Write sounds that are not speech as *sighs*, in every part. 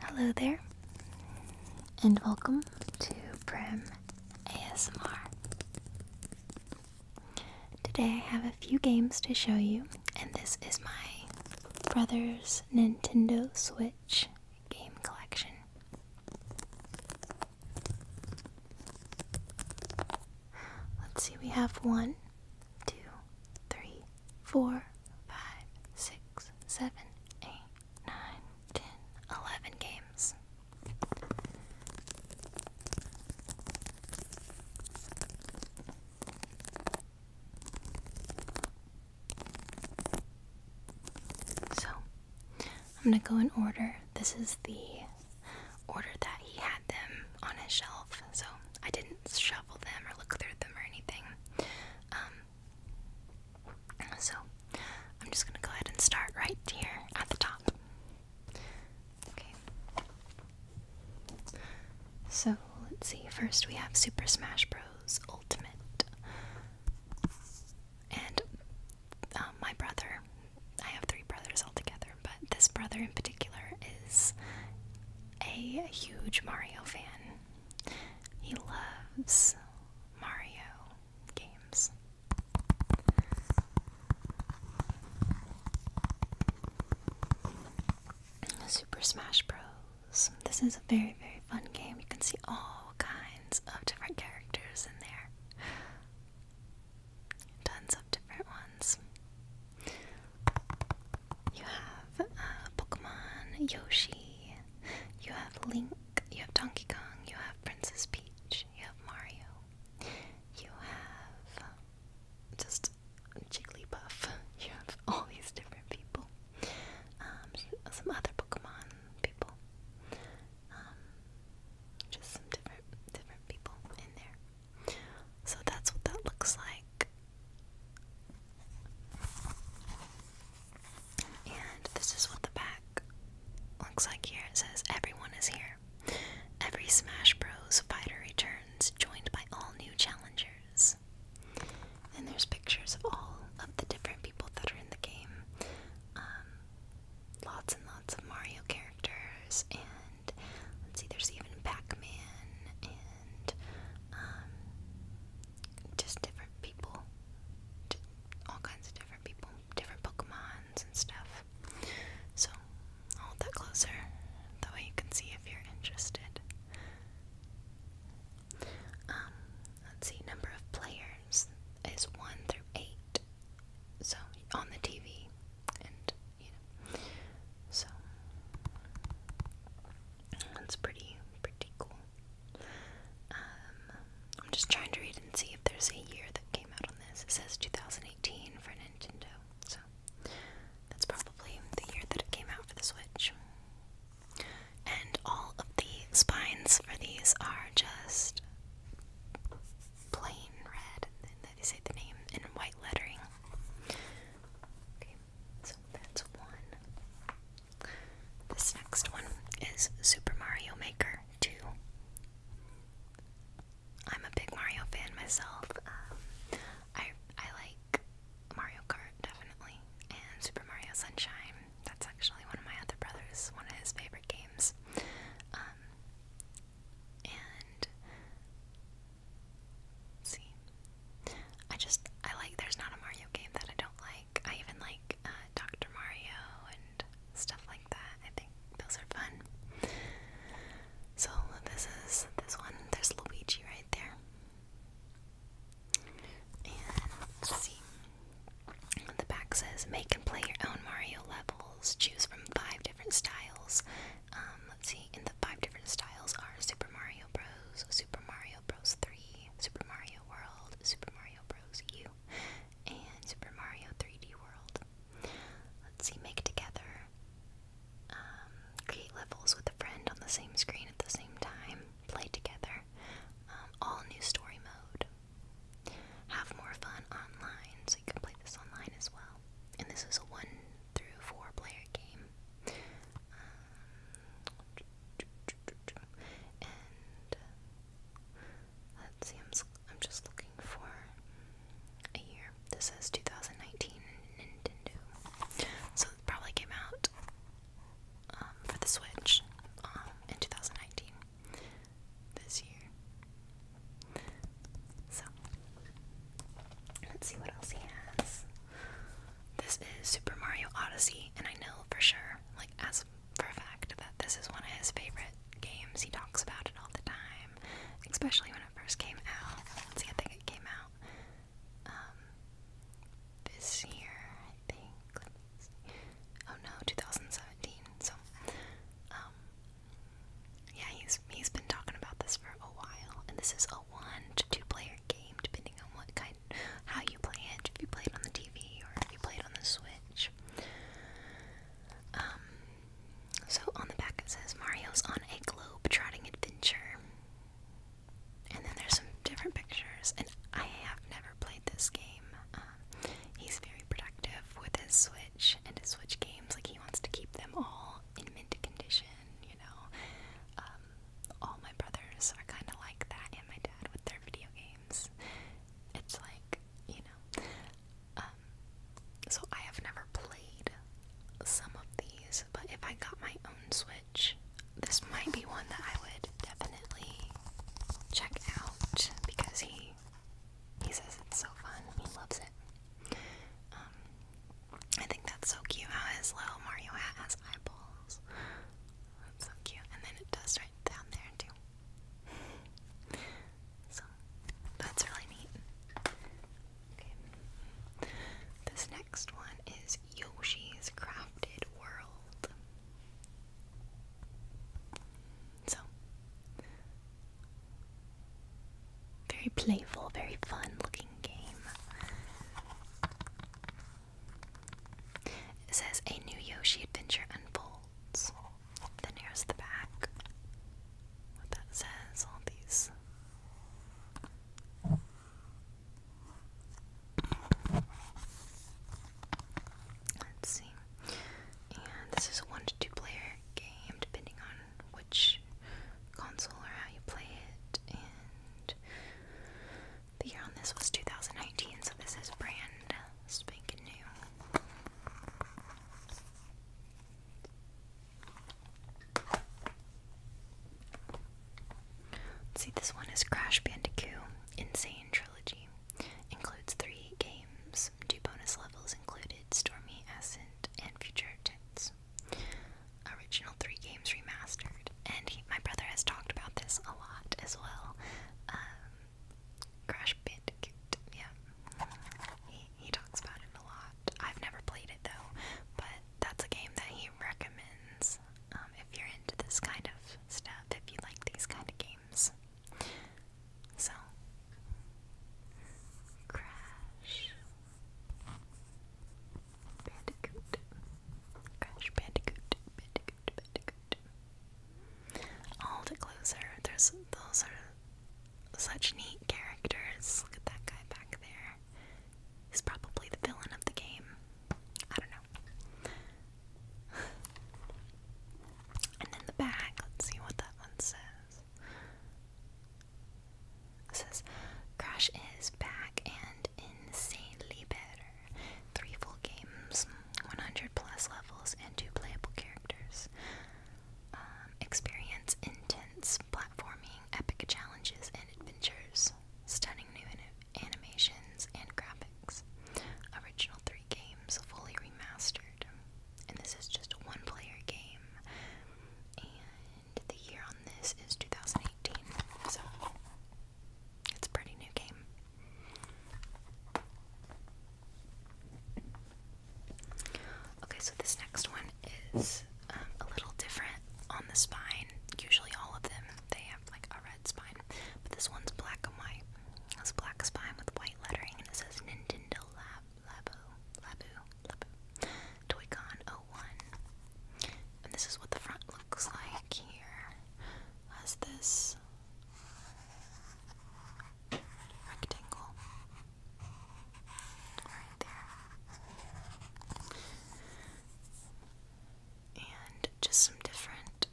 Hello there, and welcome to Prim ASMR. Today I have a few games to show you, and this is my brother's Nintendo Switch game collection. Let's see, we have one, two, three, four, five, six, seven, eight, nine, ten, eleven games. So, I'm going to go in order. This is the ordered that he had them on his shelf, so I didn't shuffle them or look through them or anything. Um, so I'm just gonna go ahead and start right here at the top. Okay. So let's see. First, we have Super Smash Bros. Ultimate, and um, my brother. I have three brothers altogether, but this brother in particular is a huge Mario fan. He loves Mario games. Super Smash Bros. This is a very, very fun game. You can see all kinds of different characters in there. Tons of different ones. You have uh, Pokemon Yoshi. You have Link. You have Donkey Kong. You have Princess Peach. You have Mario. You have just Jigglypuff. You have *laughs* all these different people. Um, some other Pokemon people. Um, just some different different people in there. So that's what that looks like. And this is what the back looks like here. It says everyone is here. Every Smash Bros fighter returns, joined by all new challengers. And there's pictures of all of the different people that are in the game. Um, lots and lots of Mario characters, and let's see, there's even Pac-Man and um, just different people, all kinds of different people, different Pokemons and stuff. So hold that closer, that way you can see if you're interested. Um, let's see, number of players is one through eight so on the TV and you know so that's pretty pretty cool. Um, I'm just trying to read and see if there's a year that came out on this. It says 2018 for Nintendo, so that's probably the year that it came out for the Switch. And all of the spines for these are just plain red, and then they say the name in white lettering. Okay, so that's one. This next one is Super Mario Maker 2. I'm a big Mario fan myself. Um, I I like Mario Kart definitely, and Super Mario Sunshine, that's actually one of my other brothers, one of his favorite games. Um, and see, I just I like. There's not a Mario game that I don't like. I even like uh, Doctor Mario and stuff like that. I think those are fun. So this is this one. There's Luigi right there. And see. The back says make and play your own Mario levels. Choose from five different styles. Um, let's see, In the five different styles are Super Mario Bros., Super Mario Bros. 3, Super Mario World, Super Mario Bros. U, and Super Mario 3D World. Let's see, make together. Um, create levels with a friend on the same screen at the same time. Play together. Um, all new story mode have more fun online, so you can play this online as well. And this is a one through four player game. Um, uh, let's see, I'm just looking for a year. This is 2019 Nintendo, so probably came out um, for the Switch um, in 2019 this year. So, let's see what else he has. This is Super Mario Odyssey, and I know for sure, like, as a fact, that this is one of his favorite games. He talks about it all the time, especially when it first came out. Let's see, I think it came out um, this year, I think oh no, 2017. So, um, yeah, he's he's been talking about this for a while, and this is a one to two player game, depending on what kind, how you play it. If you play it on the TV or if you play it on the Switch. Um, so on the back it says Mario's on a globe-trotting adventure. And then there's some different pictures, and I have never played this game. Um, he's very productive with his Switch and his Switch games. Like, he wants to keep them all in mint condition, you know. Um, all my brothers are kind of like that, and my dad with their video games. It's like, you know. Um, so I have never played some of these, but if I got my own Switch, this might be one that I would definitely check out because he he says it's so fun. He loves it. Um, I think that's so cute how his little Mario hat has eyeballs. That's so cute. And then it does right down there too. So that's really neat. Okay. This next one is Yoshi's Crafted World. So, very playful, very fun looking game. It says a new Yoshi adventure unfolds. Then here's the back. What that says, all these Let's see. this is a one to two player game, depending on which console or how you play it. And the year on this was 2019, so this is brand spanking new see, this one is Crash Bandicoot Insane Trilogy. Includes three games, two bonus levels included Stormy Ascent and Future Tense. Original three games remastered. And my brother has talked about this a lot as well. Um, Crash Bandicoot, yeah. He, he talks about it a lot. I've never played it though, but that's a game that he recommends. Um, if you're into this kind of stuff, if you like these kind of games. So, Crash Bandicoot. Crash Bandicoot, Bandicoot, Bandicoot. All the closer, there's those are such neat characters. Look at that guy back there. He's probably the villain of the game. I don't know. *sighs* and in the back, let's see what that one says. It says, Crash is back and insanely better. Three full games, 100 plus levels, and two playable characters. Um, experience intense platforming, epic challenges, and adventures stunning new animations and graphics, original three games fully remastered, and this is just a one-player game. And the year on this is 2018, so it's a pretty new game. Okay, so this next one is um, a little different on the spine. Usually, all of them they have like a red spine, but this one's black and white. It's black spine with white lettering, and it says Nintendo Lab Labo Labu Labu Toycon 01. And this is what the front looks like. Here has this rectangle there. And just some different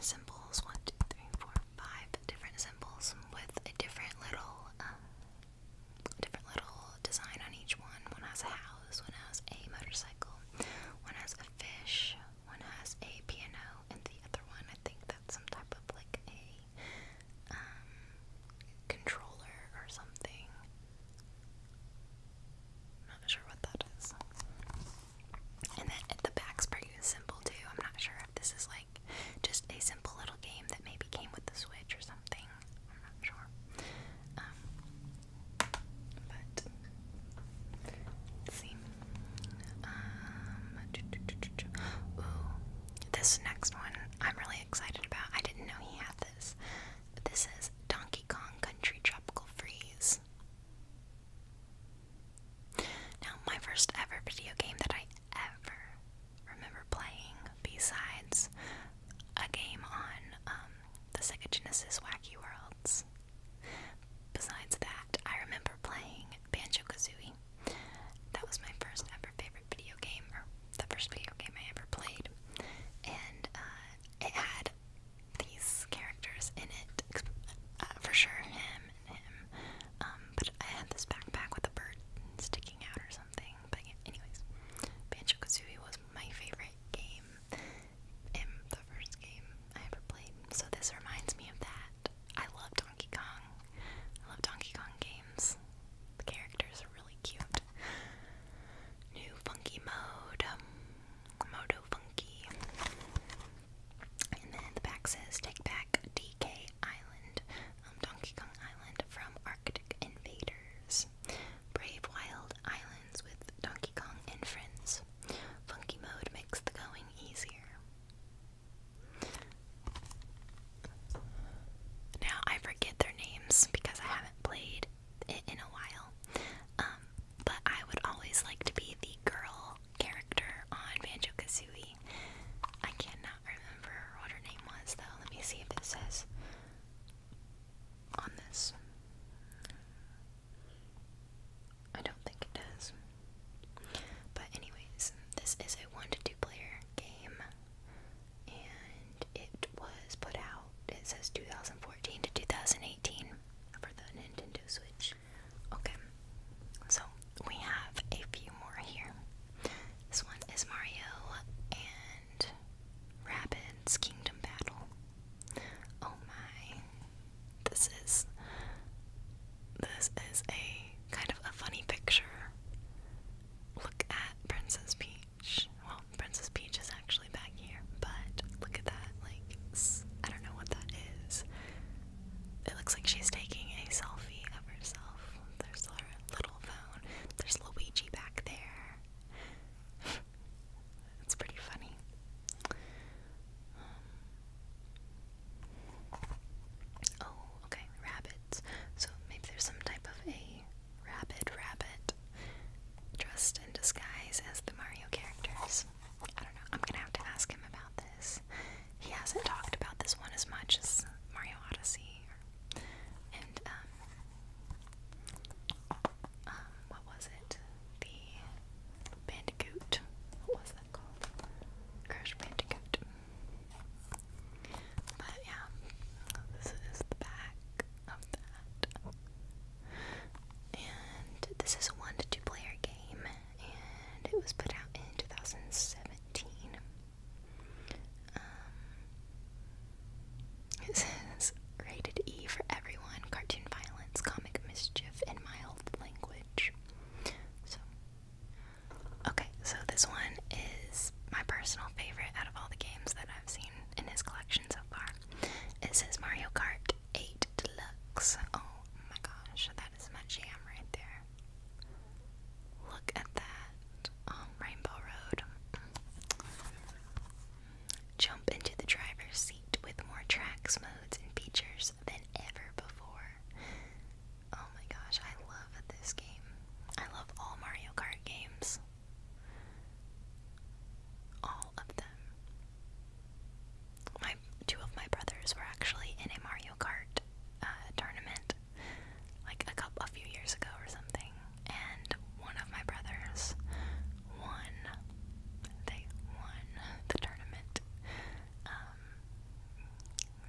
symbols one, two, three, four, five different symbols with a different little, um, different little design on each one. One has a house, one has a motorcycle, one has a fish, one has a piano, and the other one, I think that's some type of like a um, controller or something. Not sure what that is. And then the back's pretty simple too. I'm not sure if this is like just a simple little game that maybe came with the Switch or something. I'm not sure. Um, but see. Um, ooh, this next one I'm really excited about. I didn't know he had this this is Donkey Kong Country Tropical Freeze. Now, my first ever video game that I ever remember playing, besides a game on um, the Sega Genesis Wacky Worlds, besides that, I remember playing Banjo Kazooie. That was my first ever favorite video game, or the first video game I ever played, and uh, it had these characters in it, uh, for sure him and him. Um, but I had this backpack with a bird sticking out or something. But anyways, Banjo Kazooie was my favorite game, and the first game I ever played. So this reminds me of that. I love Donkey Kong. I love Donkey Kong games. The characters really cute. New funky mode, um, Modo Funky. And then the back says Take Back DK Island, um, Donkey Kong Island from Arctic Invaders. Brave Wild Islands with Donkey Kong and Friends. Funky mode makes the going easier. Now I forget their names because I haven't played it in a while. Um, but I would always like to be the girl character on Banjo Kazooie. I cannot remember what her name was though. Let me see if it says on this. I don't think it does. But anyways, this is a one to two player game and it was put out, it says 2014 to 2018 for the Nintendo Switch. Okay, so we have a few more here. This one is Mario and Rabbids Kingdom Battle. Oh my. This is this is a kind of a funny picture look at Princess Peach. Well, Princess Peach is actually back here, but look at that. Like, I don't know what that is. It looks like she's taking a selfie of herself. There's her little phone. There's Luigi back there. *laughs* it's pretty funny. Um, oh, okay, rabbits. So maybe there's some type of a rabid rabbit dressed in disguise as the Mario characters. I don't know. I'm gonna have to ask him about this. He hasn't talked about this one as much as Mario Odyssey, and um, um, what was it? The Bandicoot. What was that called? Crash Bandicoot. But yeah, this is the back of that. And this is a one to two player game, and it was put out in 2017. Um, it says rated E for everyone, cartoon violence, comic mischief, and mild language. So, Okay, so this one is my personal favorite out of all the games that I've seen in his collection so far. It says Mario Kart 8 Deluxe. Oh my gosh, that is my jam right there. Look at that. Um, Rainbow Road. Jump into the driver's seat with more tracks, modes, and features than ever before. Oh my gosh, I love this game. I love all Mario Kart games. All of them. My two of my brothers were actually in a Mario Kart uh, tournament like a couple a few years ago or something, and one of my brothers won. They won the tournament. Um,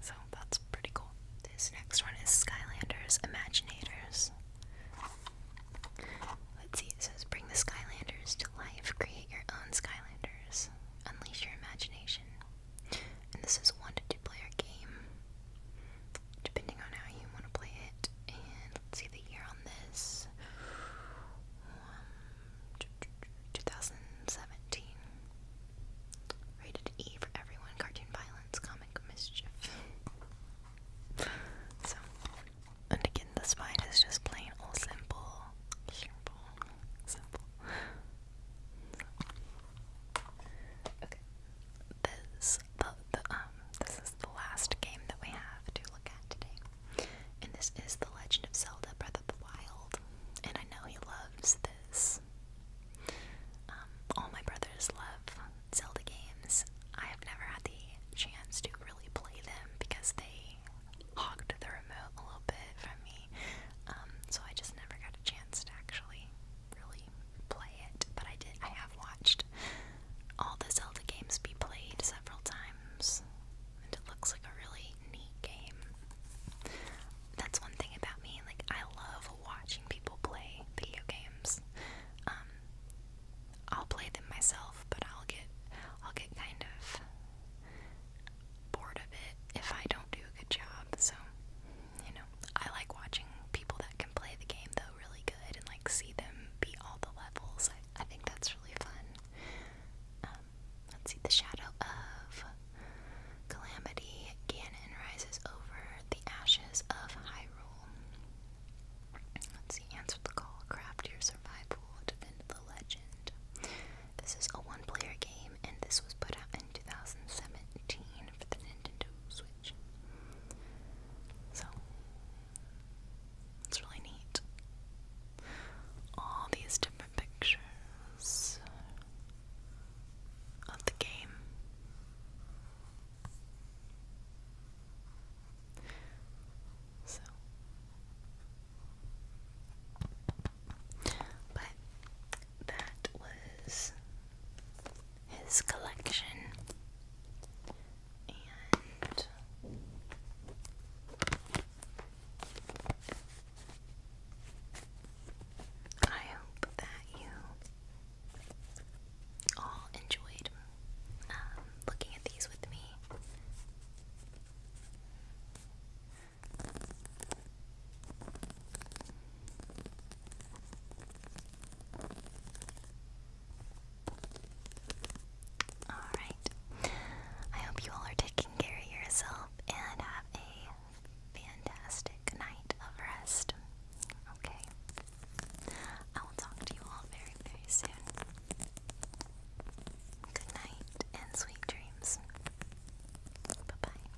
so that's pretty cool. This next one is Skylanders Imaginators. Let's see, it says bring the Skylanders to life, create your own Skylanders, unleash your imagination. And this is one to two player game, depending on how you want to play it. And let's see the year on this um, 2017. Rated E for everyone. Cartoon violence, comic mischief. so, and again, the spine is just plain old simple, simple, simple. Okay, this the, the um this is the last game that we have to look at today, and this is the Legend of Zelda: Breath of the Wild. And I know he loves is. Um, all my brothers love Zelda games. I have never had the chance to really play them because they hogged the remote a little bit from me. Um, so I just never got a chance to actually really play it. But I did I have watched all the Zelda games be played several times. And it looks like a really really neat game. That's one thing about me. Like I love watching people play video games. Um, I'll play them myself, but I'll get I'll get kind of bored of it if I don't do a good job. So, you know, I like watching people that can play the game though really good and like see them beat all the levels. I, I think that's really fun. Um, let's see, the shadow of calamity. Ganon rises over the ashes of Hyrule. Let's see, answer the call, craft your survival, defend the legend. This is a one-player game, and this was put out in 2017 for the Nintendo Switch. So, it's really neat. All these different pictures of the game. So, but that was his collection, and I hope that you all enjoyed um, looking at these with me. Alright. I hope you all are taking care of yourself and have a fantastic night of rest. Okay. I will talk to you all very, very soon. Good night and sweet dreams. Bye bye.